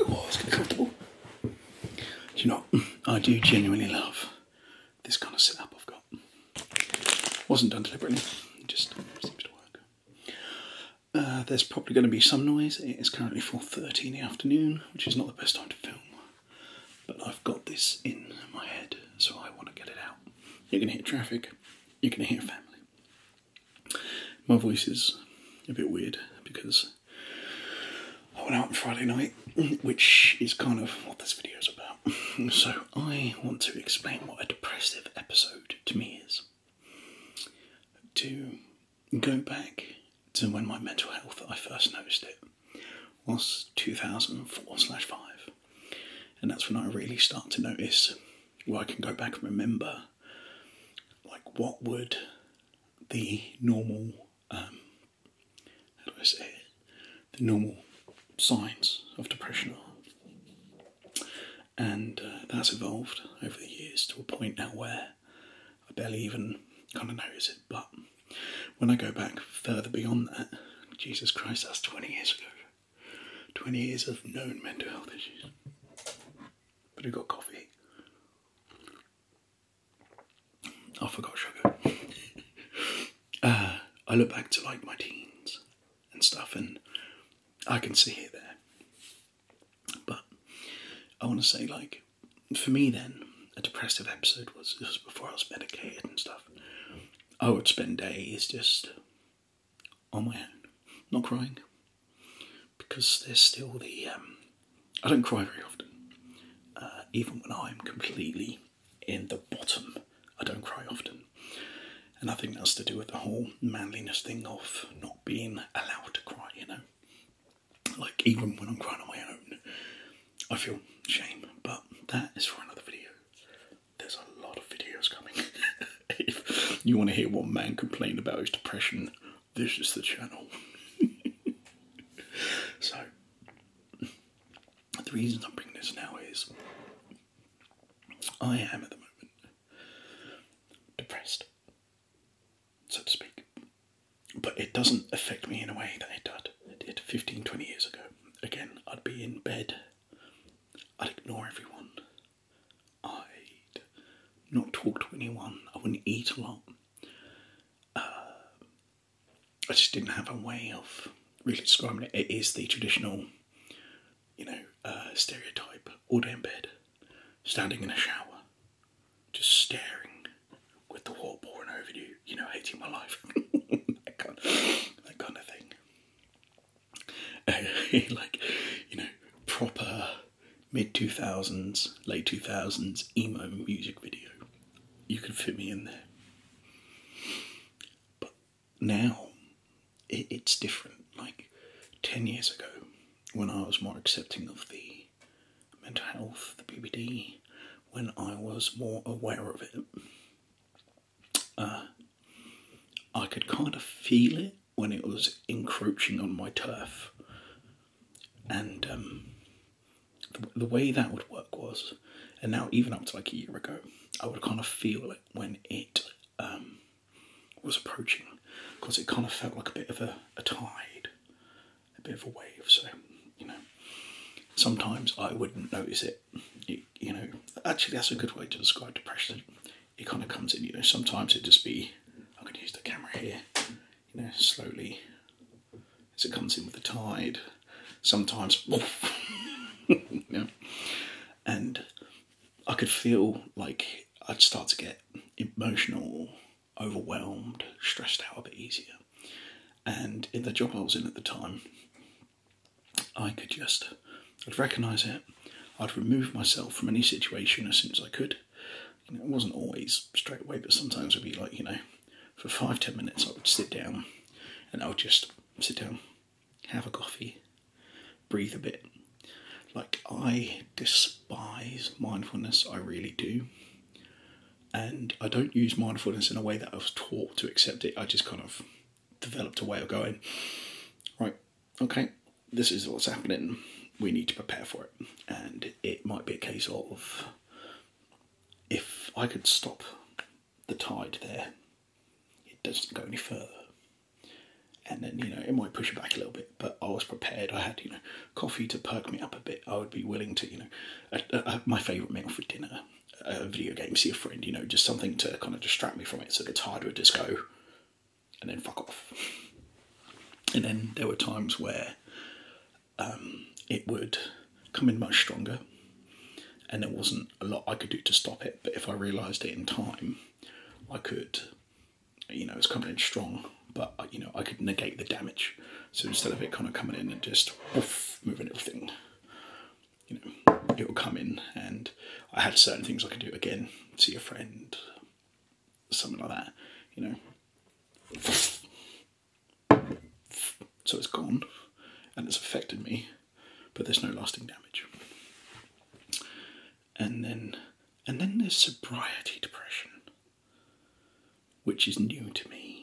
Do you know, I do genuinely love this kind of setup I've got. Wasn't done deliberately, it just seems to work. Uh, there's probably going to be some noise. It is currently 4.30 in the afternoon, which is not the best time to film. But I've got this in my head, so I want to get it out. You're going to hear traffic, you're going to hear family. My voice is a bit weird because I went out on Friday night, which is kind of what this video is about. So I want to explain what a depressive episode to me is. To go back to when my mental health, I first noticed it, was 2004 slash 5. And that's when I really start to notice where I can go back and remember like what would the normal um, how do I say it? the normal signs of depression and uh, that's evolved over the years to a point now where I barely even kind of notice it. But when I go back further beyond that, Jesus Christ, that's twenty years ago. 20 years of known mental health issues. But I got coffee. I forgot sugar. uh, I look back to like my teens and stuff, and I can see it there. But I want to say, like, for me then, a depressive episode was, It was before I was medicated and stuff. I would spend days just on my own, not crying, because there's still the. Um, I don't cry very often, uh, even when I'm completely in the bottom. I don't cry often, and I think that's to do with the whole manliness thing of not being allowed to cry. You know, like even when I'm crying on my own, I feel shame. But that is for another video there's a lot of videos coming. if you want to hear one man complain about his depression, this is the channel. so, the reason I am bringing this now is I am at the moment depressed, so to speak. But it doesn't affect me in a way that it did, it did 15, 20 years ago. Again, I'd be in bed I'd ignore everyone. I'd not talk to anyone. I wouldn't eat a lot. Uh, I just didn't have a way of really describing it. It is the traditional, you know, uh, stereotype all day in bed, standing in a shower, just staring with the water boring over you, you know, hating my life. that, kind that kind of thing. like, you know, proper mid 2000s, late 2000s emo music video. You could fit me in there. But now, it's different. Like, 10 years ago, when I was more accepting of the mental health, the BBD, when I was more aware of it, uh, I could kind of feel it when it was encroaching on my turf. And um, the, way that would work was, and now even up to like a year ago, I would kind of feel it when it um, was approaching because it kind of felt like a bit of a, tide, a bit of a wave. So, you know, sometimes I wouldn't notice it you know, actually that's a good way to describe depression. It kind of comes in, you know, sometimes it just be, I'm going to use the camera here, you know, slowly as it comes in with the tide. Sometimes, you and I could feel like I'd start to get emotional, overwhelmed, stressed out a bit easier. And in the job I was in at the time, I could just, I'd recognise it, I'd remove myself from any situation as soon as I could. it wasn't always straight away, but sometimes it'd be like, you know, for five, ten minutes I would sit down and I would just sit down, have a coffee, breathe a bit. Like, I despise mindfulness, I really do and I don't use mindfulness in a way that I was taught to accept it. I just kind of developed a way of going, right, okay, this is what's happening. We need to prepare for it. And it might be a case of if I could stop the tide there, it doesn't go any further. And then, you know, it might push it back a little bit, but I was prepared. I had, you know, coffee to perk me up a bit. I would be willing to, you know, my favourite meal for dinner a video game, see a friend, you know, just something to kind of distract me from it. So gets harder just go, and then fuck off. And then there were times where um, it would come in much stronger, and there wasn't a lot I could do to stop it. But if I realised it in time, I could, you know, it's coming in strong, but you know, I could negate the damage. So instead of it kind of coming in and just moving everything, you know, it'll come in. And I had certain things I could do again, see a friend, something like that, you know. So it's gone and it's affected me, but there's no lasting damage. And then, and then there's sobriety depression which is new to me.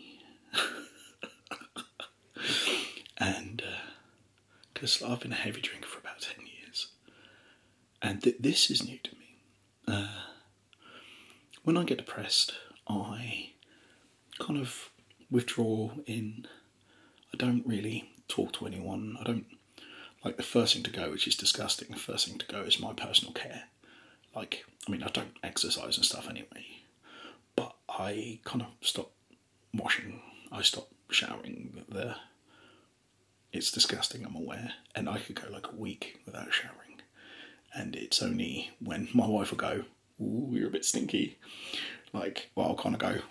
and uh, because I've been a heavy drinker for about 10 years, and this is new to me. Uh, when I get depressed, I kind of withdraw in. I don't really talk to anyone. I don't like the first thing to go, which is disgusting. The first thing to go is my personal care. Like, I mean, I don't exercise and stuff anyway, but I kind of stop washing, I stop showering. There, it's disgusting, I'm aware, and I could go like a week without showering. And it's only when my wife will go, "Oh, you're a bit stinky, like, well, I'll kind of go,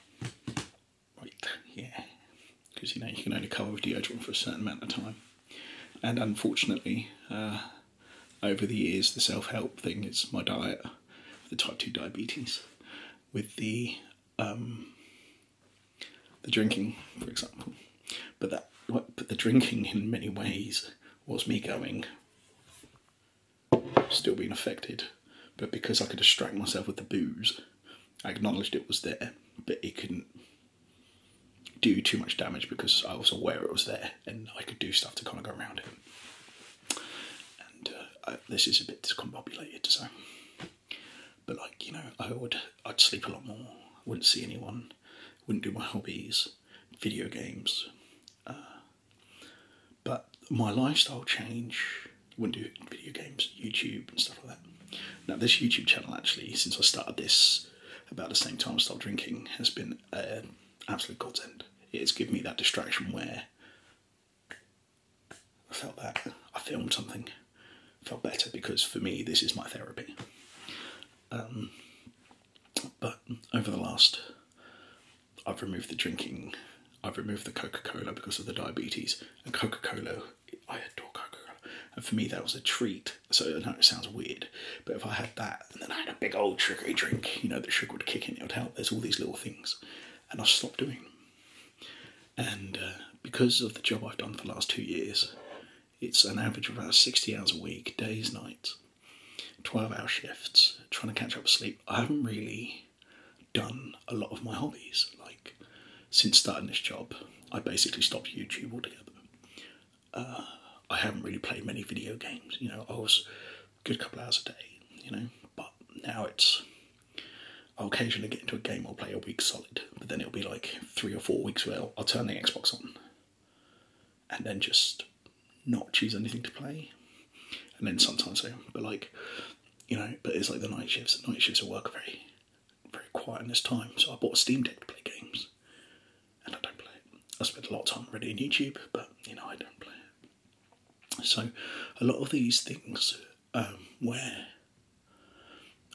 Right, yeah, because you know, you can only cover with deodorant for a certain amount of time. And unfortunately, uh, over the years, the self help thing is my diet, the type 2 diabetes, with the um, the drinking, for example. But that, but the drinking in many ways was me going, still being affected, but because I could distract myself with the booze, I acknowledged it was there, but it couldn't do too much damage because I was aware it was there and I could do stuff to kind of go around it. And uh, this is a bit discombobulated, so. But like you know, I would I'd sleep a lot more. Wouldn't see anyone. Wouldn't do my hobbies, video games. Uh, but my lifestyle change. Wouldn't do video games, YouTube and stuff like that. Now this YouTube channel actually, since I started this about the same time I stopped drinking has been uh, absolute godsend. It's given me that distraction where I felt that I filmed something, felt better because for me this is my therapy. Um, but over the last, I've removed the drinking, I've removed the Coca Cola because of the diabetes, and Coca Cola I adore Coca Cola. And for me, that was a treat. So I know it sounds weird, but if I had that and then I had a big old sugary drink, you know, the sugar would kick in, it would help. There's all these little things. And I stopped doing And uh, because of the job I've done for the last two years, it's an average of about 60 hours a week, days, nights, 12 hour shifts, trying to catch up sleep. I haven't really done a lot of my hobbies. Like, since starting this job, I basically stopped YouTube altogether. Uh, I haven't really played many video games, you know, I was a good couple hours a day, you know, but now it's, I'll occasionally get into a game, I'll play a week solid, but then it'll be like three or four weeks where I'll, turn the Xbox on and then just not choose anything to play. And then sometimes I, but like, you know, but it's like the night shifts, night shifts are work very very quiet in this time, so I bought a Steam Deck to play games, and I don't play it. I spend a lot of time reading YouTube, but you know I don't play it. So a lot of these things um, where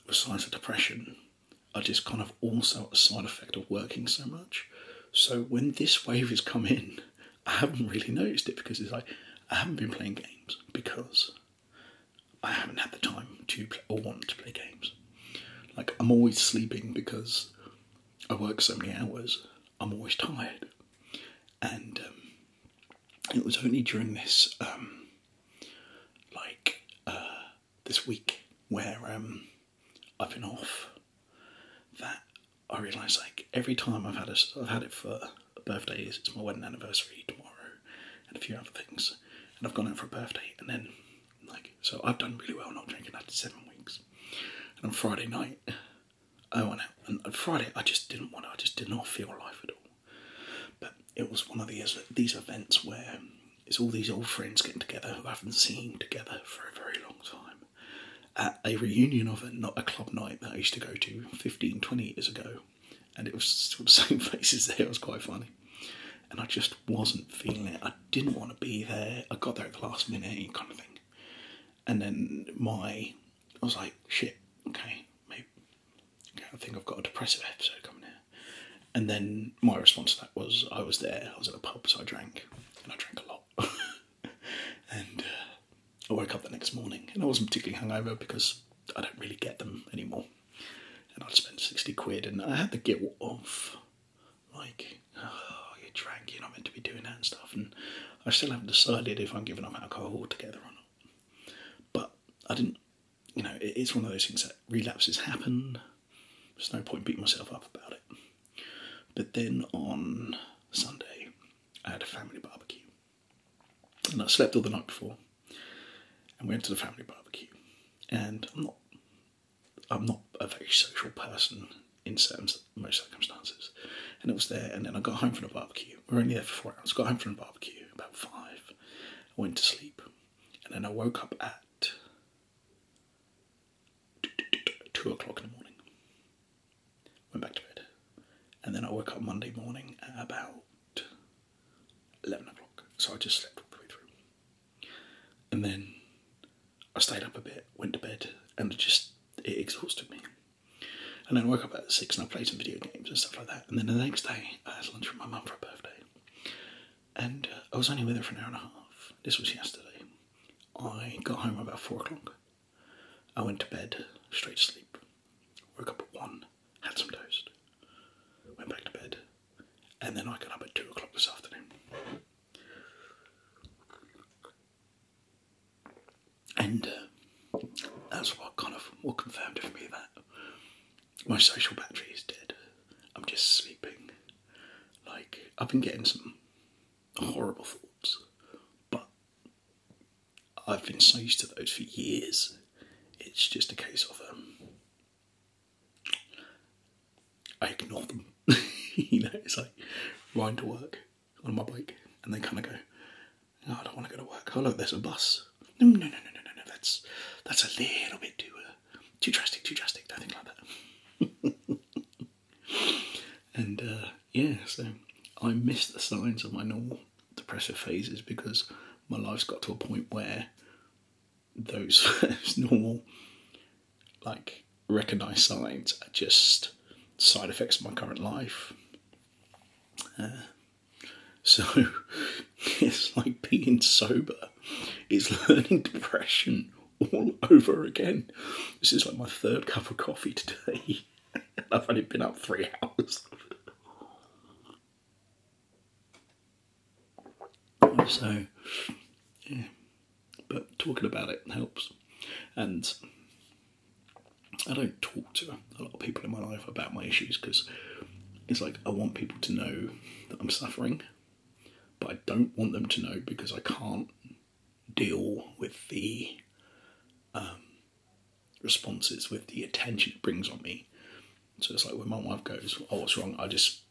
the signs of depression are just kind of also a side effect of working so much. So when this wave has come in, I haven't really noticed it because it's like I haven't been playing games because I haven't had the time to or want to play games. Like, I'm always sleeping because I work so many hours, I'm always tired. And um, it was only during this, um, like, uh, this week where um, I've been off that I realized like every time I've had a, I've had it for birthday is. It's my wedding anniversary tomorrow, and a few other things. And I've gone out for a birthday, and then like so, I've done really well not drinking after seven weeks. And on Friday night, I went out, and Friday I just didn't want. To, I just did not feel alive at all. But it was one of these these events where it's all these old friends getting together who haven't seen together for a very long time at a reunion of it, not a club night that I used to go to 15, 20 years ago and it was sort of same faces there. It was quite funny, and I just wasn't feeling it. I didn't want to be there. I got there at the last minute, kind of thing. And then my, I was like, shit, okay, maybe, okay, I think I've got a depressive episode coming here. And then my response to that was, I was there. I was at a pub, so I drank, and I drank a lot. and uh, I woke up the next morning and I wasn't particularly hungover because I don't really get them anymore. And I'd spent 60 quid and I had the guilt of like, oh, you drunk. you're not meant to be doing that and stuff. And I still haven't decided if I'm giving up alcohol altogether or not. But I didn't, you know, it's one of those things that relapses happen. There's no point beating myself up about it. But then on Sunday, I had a family barbecue and I slept all the night before and went to the family barbecue. And I'm not I'm not a very social person in terms most circumstances. And it was there and then I got home from the barbecue. We were only there for four hours. Got home from the barbecue about five. I went to sleep. And then I woke up at two o'clock in the morning went back to bed. And then I woke up Monday morning at about 11 o'clock. So I just slept all the way through. And then I stayed up a bit, went to bed, and just, it exhausted me. And then I woke up at six and I played some video games and stuff like that. And then the next day, I had lunch with my mum for her birthday. And uh, I was only with her for an hour and a half. This was yesterday. I got home about four o'clock. I went to bed, straight to sleep. Woke up at one, had some toast, went back to bed, and then I got up at two o'clock this afternoon. And uh, that's what kind of what confirmed for me that my social battery is dead. I'm just sleeping. Like I've been getting some horrible thoughts, but I've been so used to those for years. It's just a case of um, I ignore them. you know, it's like riding to work on my bike, and they kind of go, oh, "I don't want to go to work." Oh look, there's a bus. No, no, no, no, no, no, That's that's a little bit too uh, too drastic, too drastic. Don't think like that. And uh, yeah, so I miss the signs of my normal depressive phases because my life's got to a point where those, normal, like, recognized signs are just side effects of my current life. Uh, so it's like being sober, is learning depression all over again. This is like my third cup of coffee today. I've only been up three hours. so, yeah. But talking about it helps. And I don't talk to a lot of people in my life about my issues because it's like I want people to know that I'm suffering, but I don't want them to know because I can't deal with the um, responses, with the attention it brings on me. So it's like when my wife goes, "Oh, what's wrong?" I just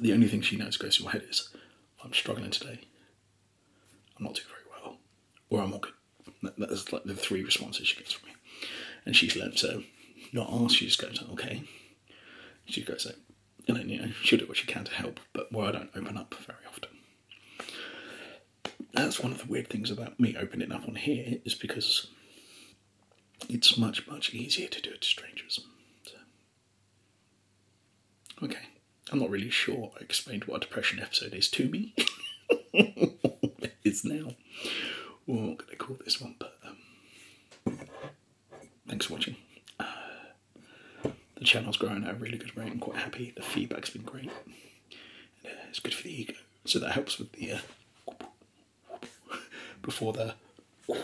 the only thing she knows goes through my head is, "I'm struggling today. I'm not doing very well, or I'm not good." that's like the three responses she gets from me, and she's learned to not ask. She just goes, "Okay." She goes, and then you know she'll do what she can to help, but where I don't open up very often. That's one of the weird things about me opening up on here is because it's much much easier to do it to strangers. Okay, I'm not really sure I explained what a depression episode is to me. it is now. Well, I'm going to call this one, um, thanks for watching. Uh, the channel's growing at a really good rate. I'm quite happy. The feedback's been great. Uh, it's good for the ego, so that helps with the uh, before the.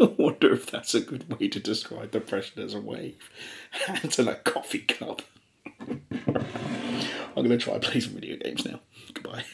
I wonder if that's a good way to describe depression as a wave. Hands in a coffee cup. I'm going to try and play some video games now. Goodbye.